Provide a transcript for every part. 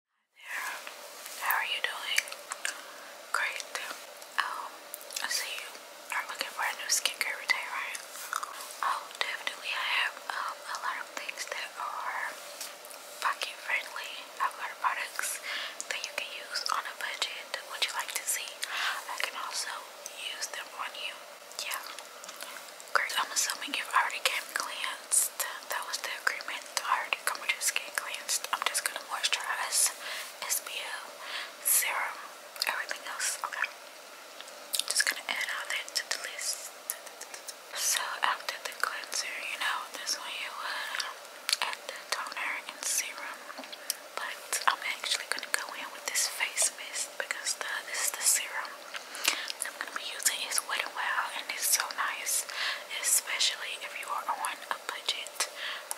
there. How are you doing? Great. Um, I see you are looking for a new skincare routine, Oh, definitely. I have um, a lot of things that are pocket friendly. I products that you can use on a budget. Would you like to see? I can also use them on you. Yeah. Great. I'm assuming you've already came cleanse that was the agreement. I already covered skin cleansed. I'm just gonna moisturize, SPF, serum, everything else. Okay, I'm just gonna add all that to the list. So after the cleanser, you know, this one you uh, add the toner and serum. But I'm actually gonna go in with this face mist because this is the serum. I'm going to be using is Wet n Wild and it's so nice, especially if you are on a budget.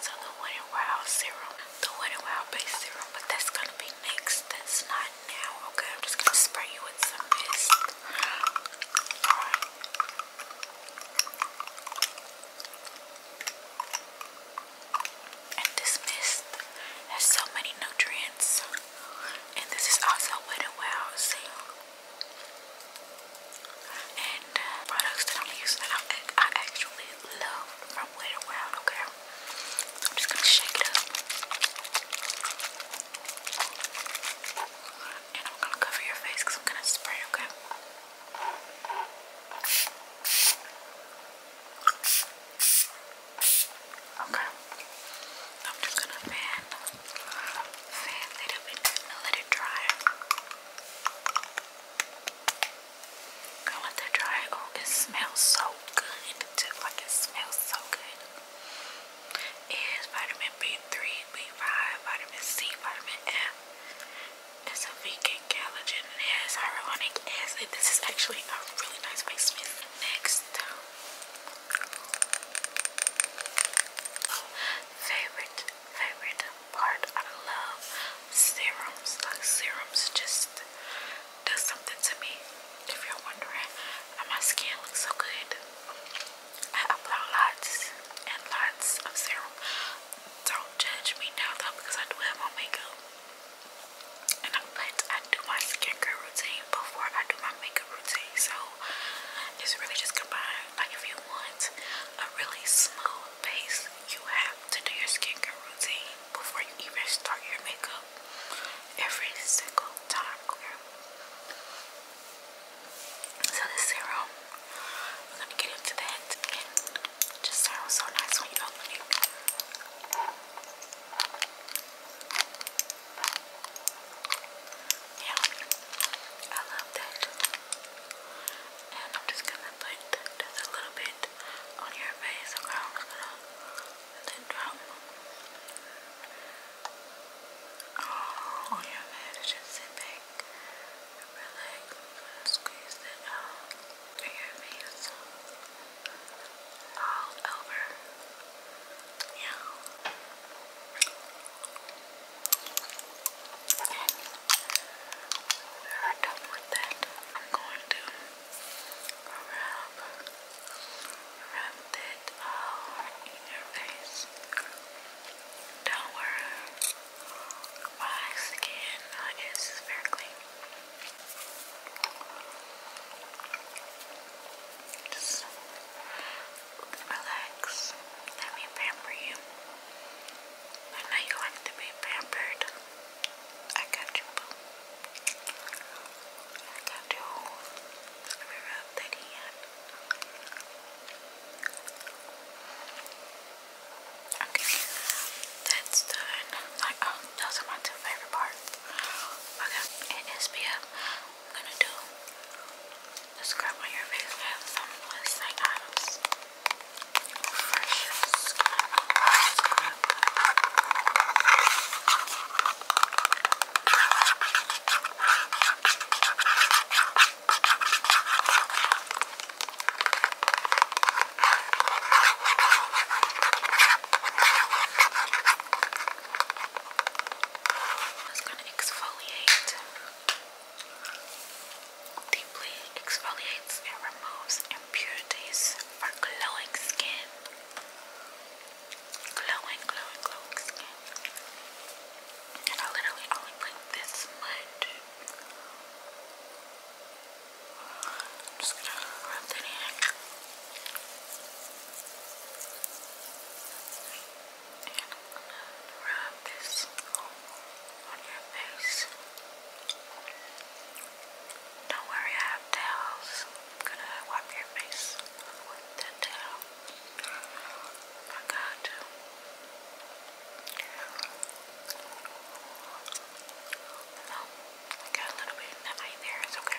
So the Wet n Wild serum, the Wet n Wild base serum, but that's going to be next. That's not now, okay? I'm just going to spray you with some mist. And this mist has so many nutrients. And this is also Wet n Wild sale. And uh, products that I'm using that I, actually love from Wet n Wild, okay? I'm just gonna shake it up. And I'm gonna cover your face I'm gonna spray, Okay, Okay. I'm just gonna fan, fan a little bit and let it dry. Gonna let that dry. Oh, it smells so good. like it smells so good. It is vitamin B3, B5, vitamin C, vitamin F. It's a vegan collagen it has hyaluronic acid. This is actually a really nice face Next, favorite favorite part. I love serums. Like uh, serums, just does something to me. If you're wondering, uh, my skin looks so good. I apply lots and lots of serum. Don't judge me now though, because I do have my makeup but I do my skincare routine before I do my makeup routine, so it's really just combined. Like if you want a really smooth base, you have to do your skincare routine before you even start your makeup every single time. So this serum, we're gonna get into that. It just sounds so nice when you open it. Yeah, I love that. And I'm just gonna put a little bit on your face. Okay, I'm drop. on oh, your face, just sit back, squeeze it out. Your hands all over. Yeah. And we're done with that. I'm going to rub, rub that all in your face. Don't worry. Relax My nose is very clean. Just relax. Let me pamper you. I know you like to be pampered. I got you, I got you. Let me rub that in. Okay, that's done. Like, oh, those are my two favorite parts. Okay, and SPF, am gonna do the scrub on your face. have some Wednesday items. Fresh it's going to exfoliate, deeply exfoliates and removes impurities for glowing skin. Glowing, glowing, glowing skin. And I literally only put this much. I'm just gonna rub that in. And I'm gonna rub this on your face. Don't worry, I have towels. I'm gonna wipe your face with the towel. I got you. I got a little bit in the eye there. It's Okay.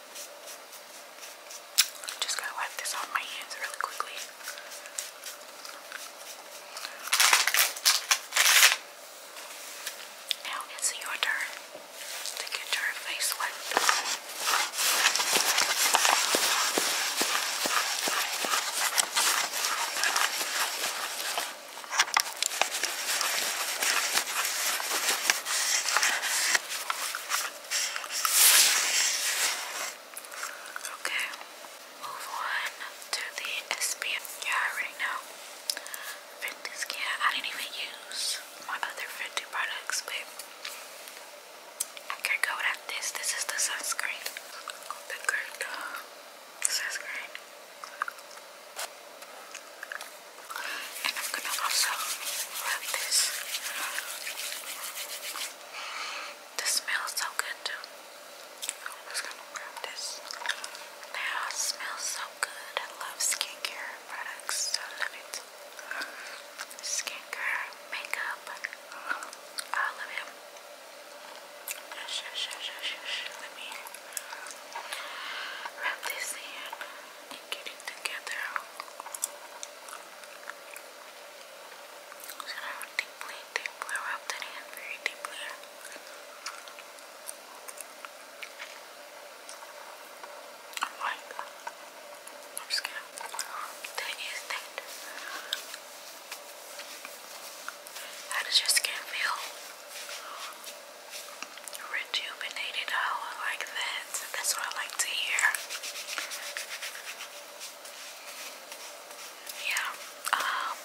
I'm just gonna wipe this off my hands really quickly. Now it's your turn to get your face wiped. Okay, move on to the SPF. Yeah, I already know. 50 skin. I didn't even use my other 50 products, but I could go without this. This is the sunscreen. The great sunscreen and I'm gonna also rub this. This smells so good I'm just gonna grab this. They all so good. I love skincare products. I love it. Skincare, makeup, all of it. Shush, shush, shush, shush. Let me wrap this in get it together. So now deeply, deeply rub that in very deeply. I like that. I'm scared. is that. How does your skin feel? rejuvenated. Oh, I like that. That's what I like to hear. Yeah. Um,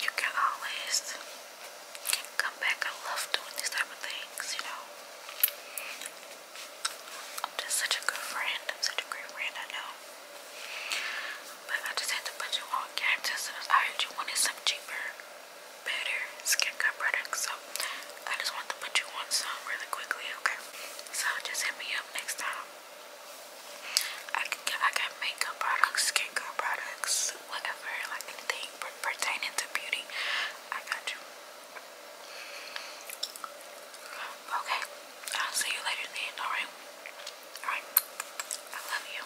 you can always come back. I love doing these type of things, you know. I'm just such a good friend. I'm such a great friend, I know. But I just had to put you on game just as I heard you wanted something cheaper better skincare products. So I just want to put you on some really quickly, okay? So just hit me up next time. I can get, I got makeup products, skincare products, whatever, like anything pertaining to beauty. I got you. Okay, I'll see you later then, alright? Alright, I love you.